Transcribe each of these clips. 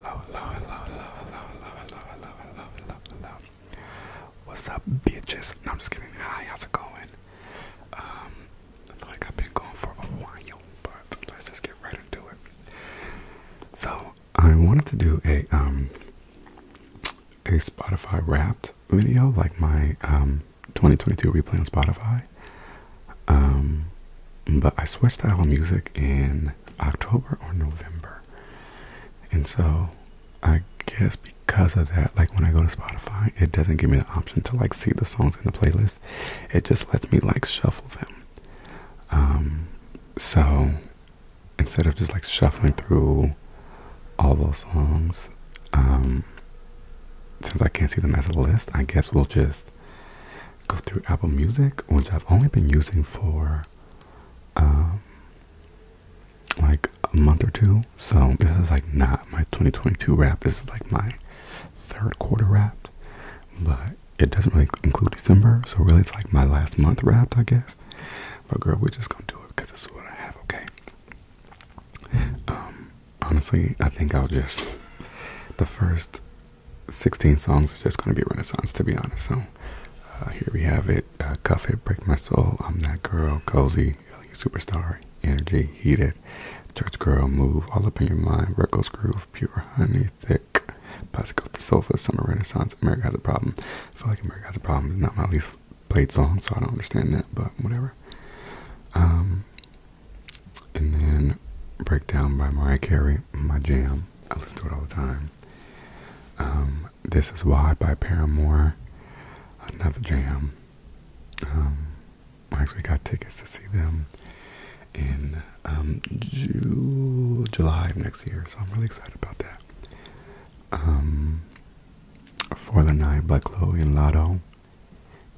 Hello, hello, hello, hello, hello, hello, hello, hello, hello, hello, What's up, bitches? I'm just getting high. how's it going? Um, I feel like I've been going for a while, but let's just get right into it. So, I wanted to do a um a Spotify Wrapped video, like my um 2022 replay on Spotify. Um, but I switched to Apple Music and October or November. And so I guess because of that, like when I go to Spotify, it doesn't give me the option to like see the songs in the playlist. It just lets me like shuffle them. Um, so instead of just like shuffling through all those songs, um, since I can't see them as a list, I guess we'll just go through Apple Music, which I've only been using for uh, like a month or two. So this is like not my 2022 wrap. This is like my third quarter wrap, but it doesn't really include December. So really, it's like my last month wrap, I guess. But girl, we're just gonna do it because this is what I have. Okay. Um, honestly, I think I'll just the first 16 songs is just going to be Renaissance, to be honest. So uh, here we have it uh, Cuff It, Break My Soul, I'm That Girl, Cozy, Superstar, Energy, Heated, Church Girl, Move, All Up in Your Mind, Records Groove, Pure Honey, Thick, Plastic Off the Sofa, Summer Renaissance, America Has a Problem. I feel like America Has a Problem is not my least played song, so I don't understand that, but whatever. Um, and then Breakdown by Mariah Carey, my jam. I listen to it all the time. Um, this is Why by Paramore. Another jam. Um, I actually got tickets to see them in um, July of next year, so I'm really excited about that. Um, For the Night by Chloe and Lotto,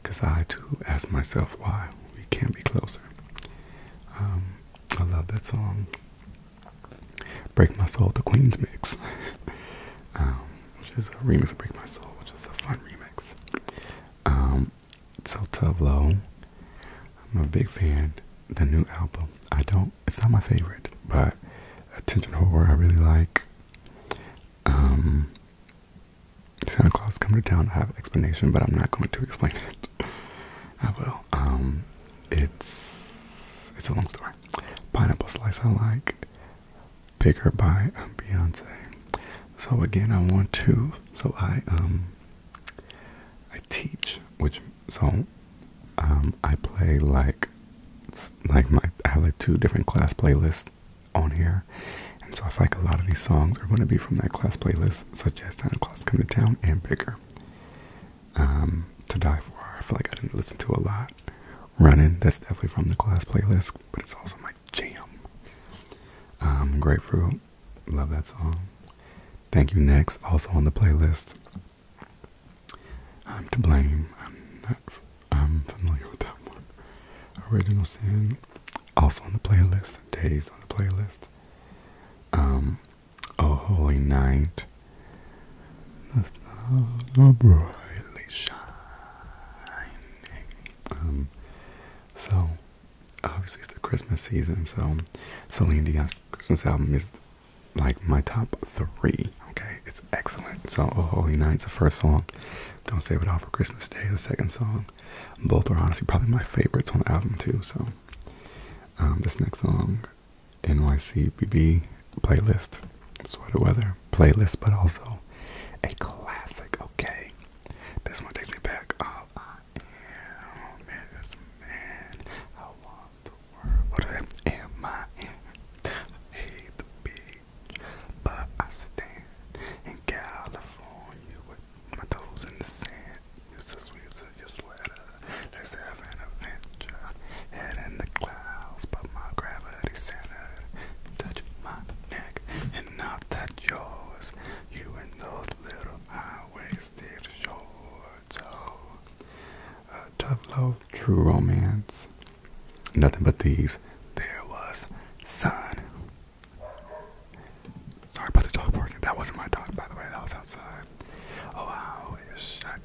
because I too ask myself why we can't be closer. I love that song. Break My Soul, the Queen's mix, um, which is a remix of Break My Soul, which is a fun remix. Um, so Tublow, I'm a big fan. The new album, I don't. It's not my favorite, but Attention Horror, I really like. Um, Santa Claus coming to town. I have an explanation, but I'm not going to explain it. I oh, will. Um, it's it's a long story. Pineapple slice I like. Bigger by um, Beyonce. So again, I want to. So I um I teach, which so um I play like like my I have like two different class playlists on here. And so I feel like a lot of these songs are going to be from that class playlist, such as Santa Claus Come to Town and Bigger. Um, to die for. I feel like I didn't listen to a lot. Running, that's definitely from the class playlist, but it's also my jam. Um, Grapefruit, love that song. Thank You Next, also on the playlist. I'm to blame. I'm not. I'm familiar with that one. Original Sin, also on the playlist. Days on the playlist. Um, Oh, holy night, the stars are brightly shining. Um, so, obviously, it's the Christmas season, so Celine Dion's Christmas album is like my top three. Okay, it's excellent. So, Oh Holy Night's the first song. Don't Save It All for Christmas Day, the second song. Both are honestly probably my favorites on the album, too. So, um, this next song NYCBB playlist, sweater weather playlist, but also a classic. Okay, this one takes me back. All I am is man. I want the world. What is Am I hate the beach, but I stand in California with my toes in the sand. Use this one, use it, just let us. have an adventure. Head in the clouds, but my gravity centered. Touch my neck, and not will touch yours. You and those little high waisted shorts. Oh, uh, tough love, true romance. Nothing but thieves. There was sun. Sorry about the dog barking. That wasn't my dog, by the way. That was outside. Oh, I wish I,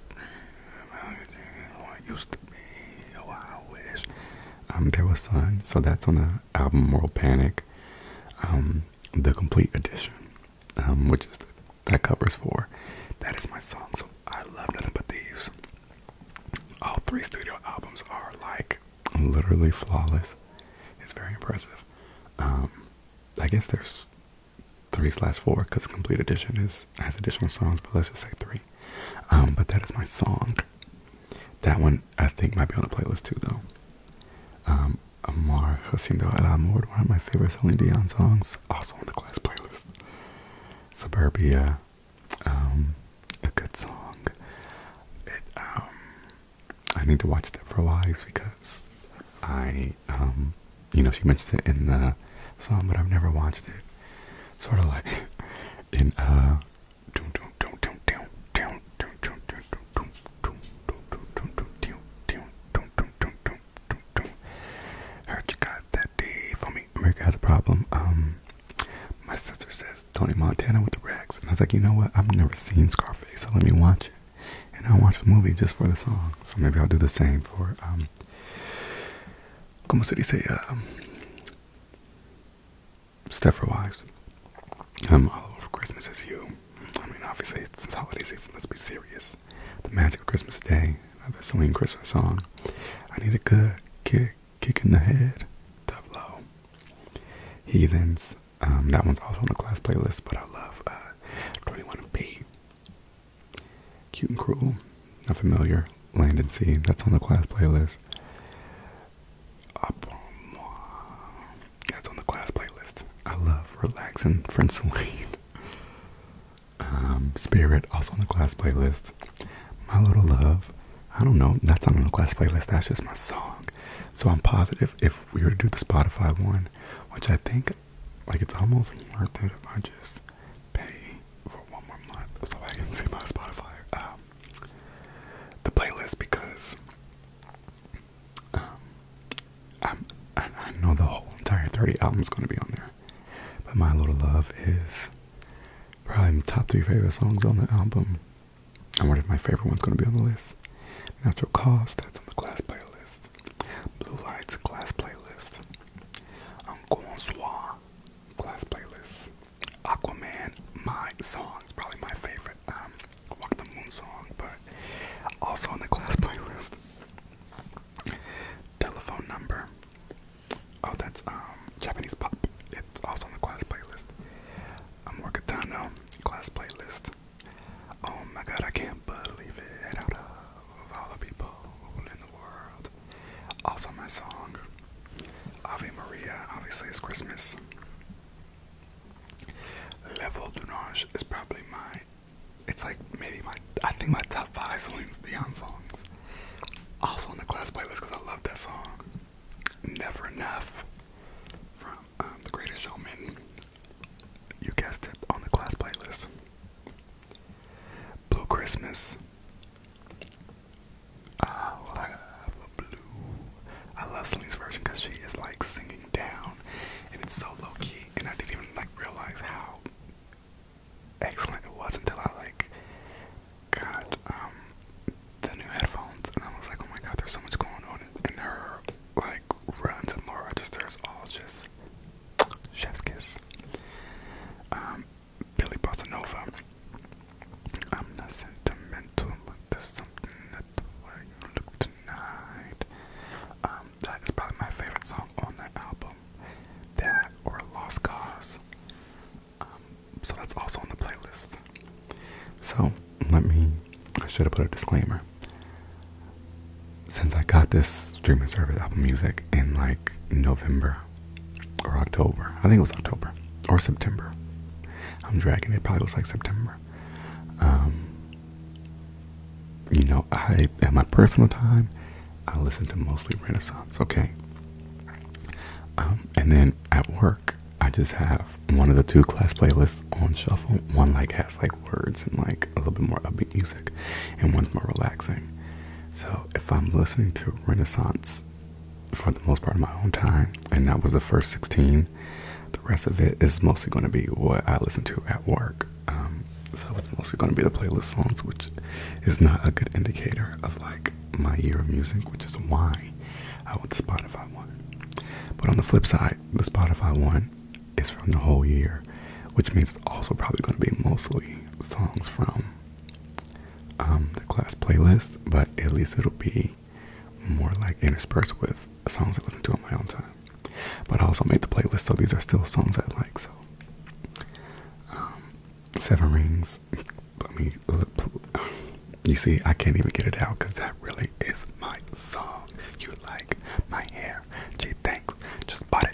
used to be. Oh, I wish. Um, there was sun, so that's on the album World Panic, um, the complete edition, um, which is that covers four. That is my song. So I love nothing but thieves. All three studio albums are like literally flawless. It's very impressive. I guess there's three slash four because complete edition is has additional songs, but let's just say three. Um, but that is my song. That one I think might be on the playlist too, though. Um, Amar Haciendo El Amor, one of my favorite Celine Dion songs, also on the class playlist. Suburbia, um, a good song. It, um, I need to watch that for a while because I you know, she mentioned it in the song, but I've never watched it. Sort of like in uh, heard you got that day for me. America has a problem. Um, my sister says Tony Montana with the rags, and I was like, you know what? I've never seen Scarface, so let me watch it and I watch the movie just for the song. So maybe I'll do the same for um como se dice um Stepford Wives. I'm um, all over Christmas is you. I mean obviously it's holiday season, let's be serious. The magic of Christmas Day, another Celine Christmas song. I need a good kick kick in the head. Tableau. Heathens. Um, that one's also on the class playlist, but I love 21B. Uh, Cute and Cruel, not familiar Land and Sea, that's on the class playlist. Up, that's on the class playlist. I love relaxing French Celine. Um, Spirit, also on the class playlist. My Little Love, I don't know, that's not on the class playlist, that's just my song. So I'm positive if we were to do the Spotify one, which I think like it's almost worth it if I just pay for one more month so I can see my Spotify um the playlist because um, i know the whole entire 30 albums gonna be on there. But My Little Love is probably the top three favorite songs on the album. I wonder if my favorite one's gonna be on the list. Natural Cause, that's on the class playlist. Blue Lights class playlist. Uncle class playlist. Aquaman, my song, is probably my favorite um, Walk the Moon song, but also on the class playlist. Telephone number. Oh, that's um Japanese pop. It's also on the class playlist. Amorcatano class playlist. Oh my god, I can't believe it. Out of all the people in the world. Also, my song, Ave Maria, obviously, it's Christmas. Level Dunage is probably my. It's like maybe my. I think my top five Celine songs. Also on the class playlist because I love that song. Never Enough from um, The Greatest Showman. You guessed it, on the class playlist. Blue Christmas. Ah, I love blue. version because she is like singing down, and it's so low key. And I didn't even like realize how excellent it was until I like got um, the new headphones, and I was like, oh my god, there's so much going on. And her like runs and Laura registers all just Chef's Kiss. Um, Billy Bossa I'm not sentimental, but there's something that you look tonight. Um, that is probably my favorite song on that album. That or Lost Cause. Um, so that's also on the playlist. So let me. I should have put a disclaimer since I got this streaming service, Apple Music, in like November or October, I think it was October or September. I'm dragging it, probably was like September. Um, you know, I at my personal time, I listen to mostly Renaissance, okay? Um, and then at work, I just have one of the two class playlists on shuffle, one like like words and like a little bit more upbeat music, and one's more relaxing. So if I'm listening to Renaissance for the most part of my own time, and that was the first 16, the rest of it is mostly going to be what I listen to at work. Um, so it's mostly going to be the playlist songs, which is not a good indicator of like my ear of music, which is why I want the Spotify one. But on the flip side, the Spotify one is from the whole year, which means it's also probably going to be mostly songs from um, the class playlist, but at least it'll be more like interspersed with songs I listen to on my own time. But I also made the playlist, so these are still songs I like. So, um, Seven Rings. Let me. You see, I can't even get it out because that really is my song. You like my hair? Gee, thanks. Just bought it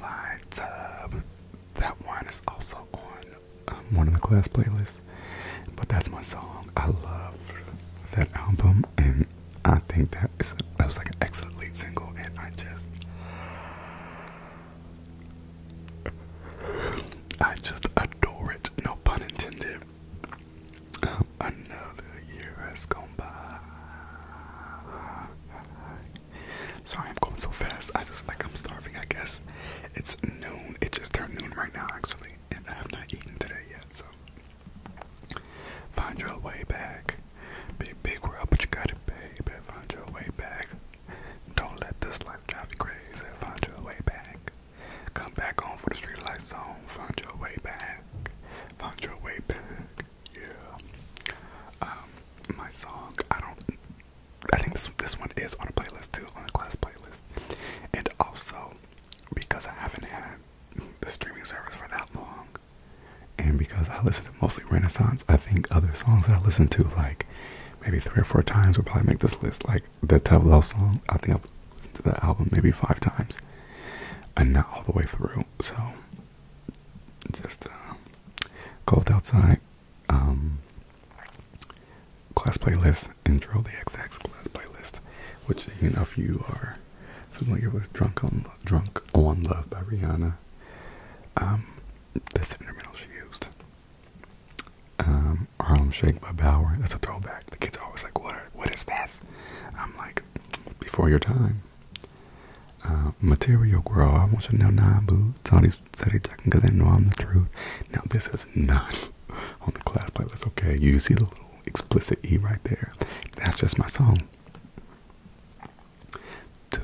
Lights Up. That one is also on um, one of the class playlists, but that's my song. I love that album, and I think that is that was like an excellent lead single, and I just. I just adore it, no pun intended. Um, another year has gone by. Sorry, I'm going so fast. I just like I'm starving. I guess it's noon. It just turned noon right now, actually, and I have not eaten today yet. So find your way back, big big world, but you got it, baby. Find your way back. Don't let this life drive you crazy. Find your way back. Come back home for the street light Find your way back. Find your way back. Yeah. Um, my song. I don't. I think this this one is on a playlist too, on the class playlist. And also, because I haven't had the streaming service for that long, and because I listen to mostly Renaissance, I think other songs that I listen to like maybe three or four times would probably make this list. Like the Tableau song, I think I've listened to that album maybe five times, and not all the way through. So just uh, cold outside. Um, class playlist intro the XX class playlist, which you know if you are familiar with "Drunk on Drunk on Love" by Rihanna. Um, that's the instrumental she used. Um, Harlem Shake by Bauer. That's a throwback. The kids are always like, "What? what is this?" I'm like, "Before your time." Uh, material girl, I want you to know nah boo. It's all these steady checking because they know I'm the truth. Now this is not on the class playlist, okay? You see the little explicit E right there. That's just my song. To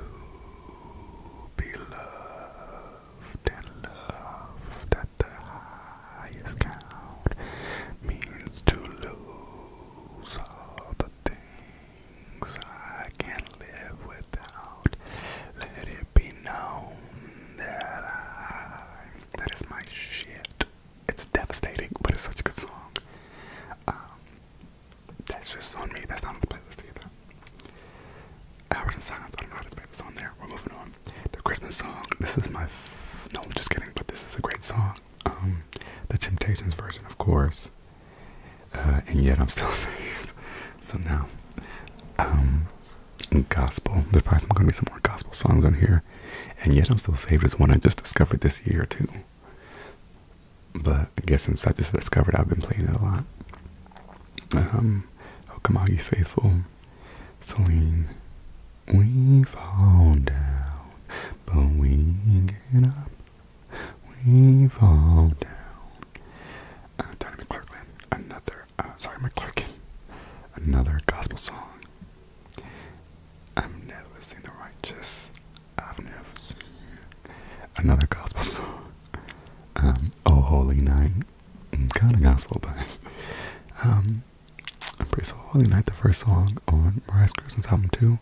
be loved and loved at the highest count means to lose all the things I can't live without. Let it be known that I. That is my shit. It's devastating, but it's such a good song. Um, that's just on me. That's not on the playlist either. Hours in silence. I don't know how to play this on there. We're moving on. The Christmas song. This is my. no, I'm just kidding. But this is a great song. Um, the Temptations version, of course. Uh, and yet I'm still saved. So now, um, gospel. There's probably gonna be some more gospel songs on here, and yet I'm still saved is one I just discovered this year too. But I guess since I just discovered, I've been playing it a lot. Um, oh come on, you faithful, Celine. We fall down, but we get up. We fall down. Uh, Donnie McClurkin, another, uh, sorry, McClurkin, another gospel song. I've never seen the righteous. I've never seen another gospel song. Um, oh, holy night. Mm, kind of gospel, but um, I'm pretty sure Holy Night, the first song on Mariah Carey's album too,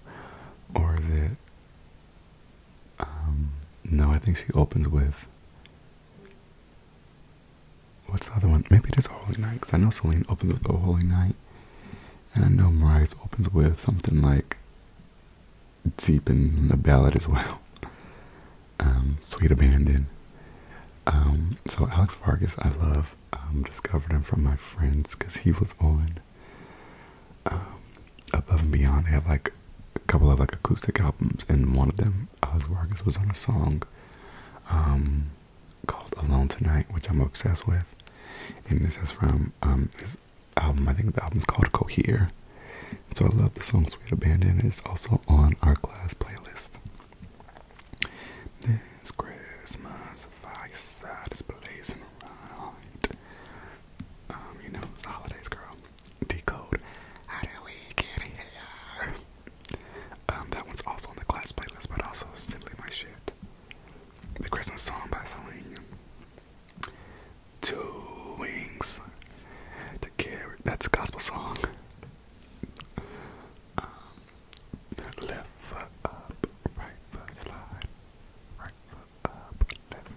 or is it um, no, I think she opens with. What's the other one? Maybe it is Holy Night, because I know Celine opens with Oh Holy Night, and I know Mariah's opens with something like Deep in the Ballad as well. Um, Sweet Abandon. Um, so Alex Fargas, I love. discovered him from my friends because he was on um, above and beyond. They have like a couple of like acoustic albums, and one of them, Oz was on a song um, called "Alone Tonight," which I'm obsessed with. And this is from um, his album. I think the album is called "Cohere." So I love the song "Sweet Abandon." It's also on our class playlist. This Christmas, fireside is blazing right. Um, you know, it's the holidays, girl. Decode. How do we get here? Um, that one's also on the class playlist, but also simply my shit. The Christmas song by Celine. Two wings to carry. That's a gospel song. Um, left foot up, right foot slide, right foot up,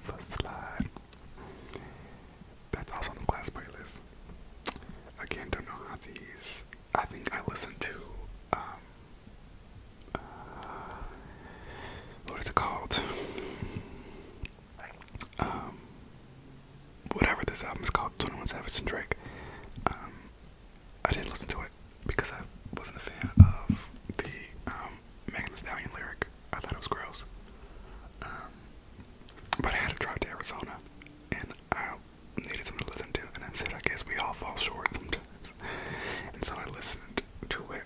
left slide. That's also on the class playlist. Again, don't know how these. I think I listened to. Um, uh, what is it called? Um, whatever this album is called, Twenty One Savage and Drake. Um, I didn't listen to it because I wasn't a fan of the um, Megan Thee Stallion lyric. I thought it was gross. Um, but I had to drive to Arizona, and I needed something to listen to, and I said, I guess we all fall short sometimes. And so I listened to it,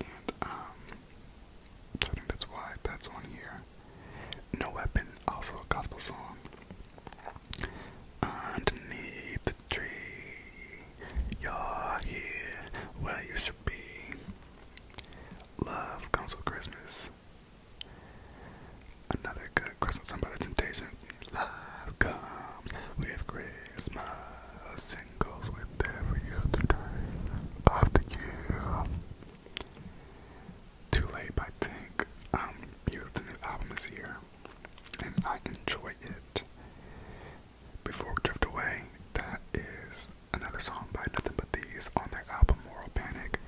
and um, so I think that's why that's on here. No Weapon, also a gospel song. Underneath the tree, you're here where you should Love comes with Christmas. Another good Christmas song by the Temptations. Love comes with Christmas and goes with every other time of the Too Late by Tank. Um, you have the new album this year, and I enjoy it. Before we drift away, that is another song by Nothing But These on their album Moral Panic.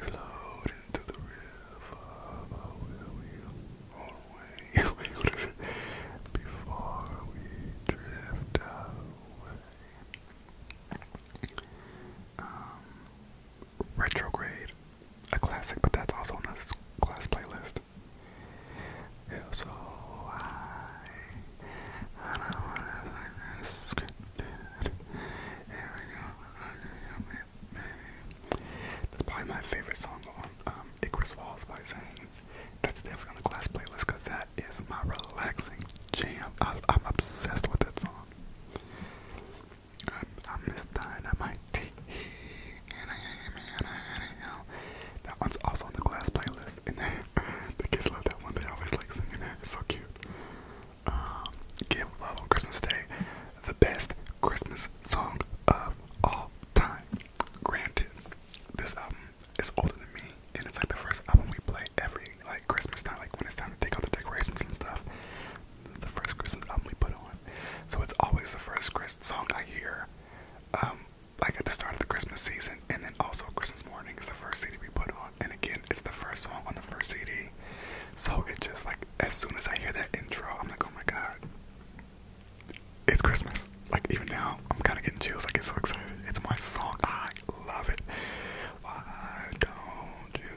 we float into the river, before we drift away? Um, Retrograde, a classic, but that's also on this class playlist. That's probably my favorite song on um, Icarus Walls by Zane. That's definitely on the class playlist because that is my relaxing jam. I, am obsessed with that song. I, um, I miss dynamite. That one's also on the class playlist. And the kids love that one. They always like singing it. It's so cute. Um, love on Christmas Day. The best Christmas song of all time. Granted, this album is older than me, and it's like the first album we play every like Christmas time, like when it's time to take out the decorations and stuff. The first Christmas album we put on, so it's always the first Christmas song I hear. Um, like at the start of the Christmas season, and then also Christmas morning is the first CD we put on, and again, it's the first song on the first CD. So it's just like as soon as I hear that intro, I'm like, oh my god, it's Christmas. Like even now, I'm kind of getting chills. I get so excited. It's my song. I love it. Why don't you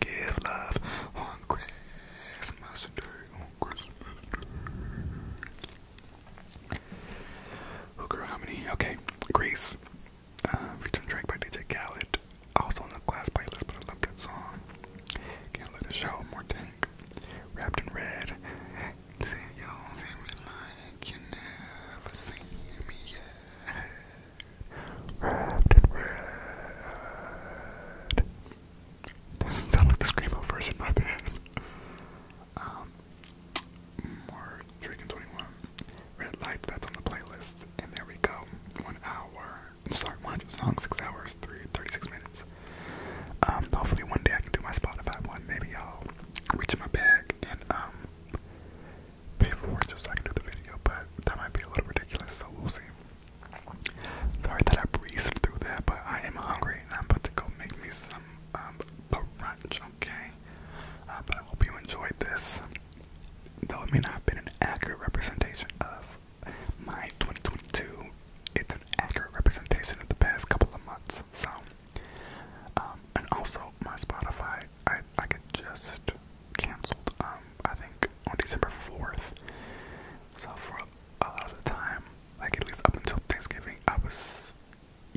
give love on Christmas Day? On Christmas Hooker, how many? Okay, Grace. Uh, um, track by DJ Khaled. Also on the class playlist, but I love song. Can't let it show. More tank. Wrapped in red. Say you do see me like you never seen me yet. Wrapped in red. Doesn't like the Screamo version, my bad um, more Dragon 21 red light that's on the playlist and there we go one hour sorry 100 songs six hours three minutes um hopefully one day i can do my spotify one maybe i'll reach my bag and um pay for just so i can do the video but that might be a little ridiculous so we'll see sorry that i breezed through that but i am hungry and i'm about to go make me some um okay? Uh, but I hope you enjoyed this. Though it may not have been an accurate representation of my 2022, it's an accurate representation of the past couple of months. So, um, and also my Spotify, I I get just canceled. Um, I think on December 4th. So for a lot of the time, like at least up until Thanksgiving, I was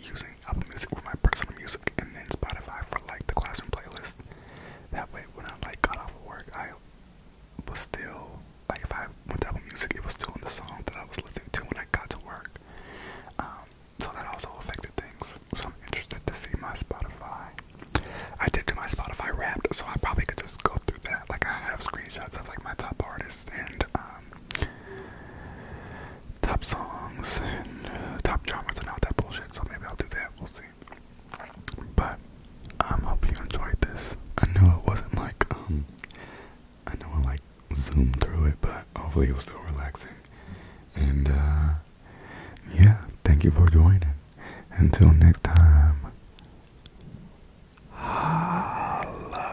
using Apple Music for my personal music and then Spotify for like the classroom playlist. That way when I like got off of work I was still like if I went to Apple Music it was still in the song that I was listening to when I got to work. Um so that also affected things. So I'm interested to see my Spotify. I did do my Spotify wrapped so I probably could just go through that. Like I have screenshots of like my top artists and um, top songs and uh, top dramas are not that bullshit. So maybe I'll do that. We'll see. But I um, hope you enjoyed this. I know it wasn't like um, I know I like zoomed through it, but hopefully it was still relaxing. And uh, yeah, thank you for joining. Until next time. Holla.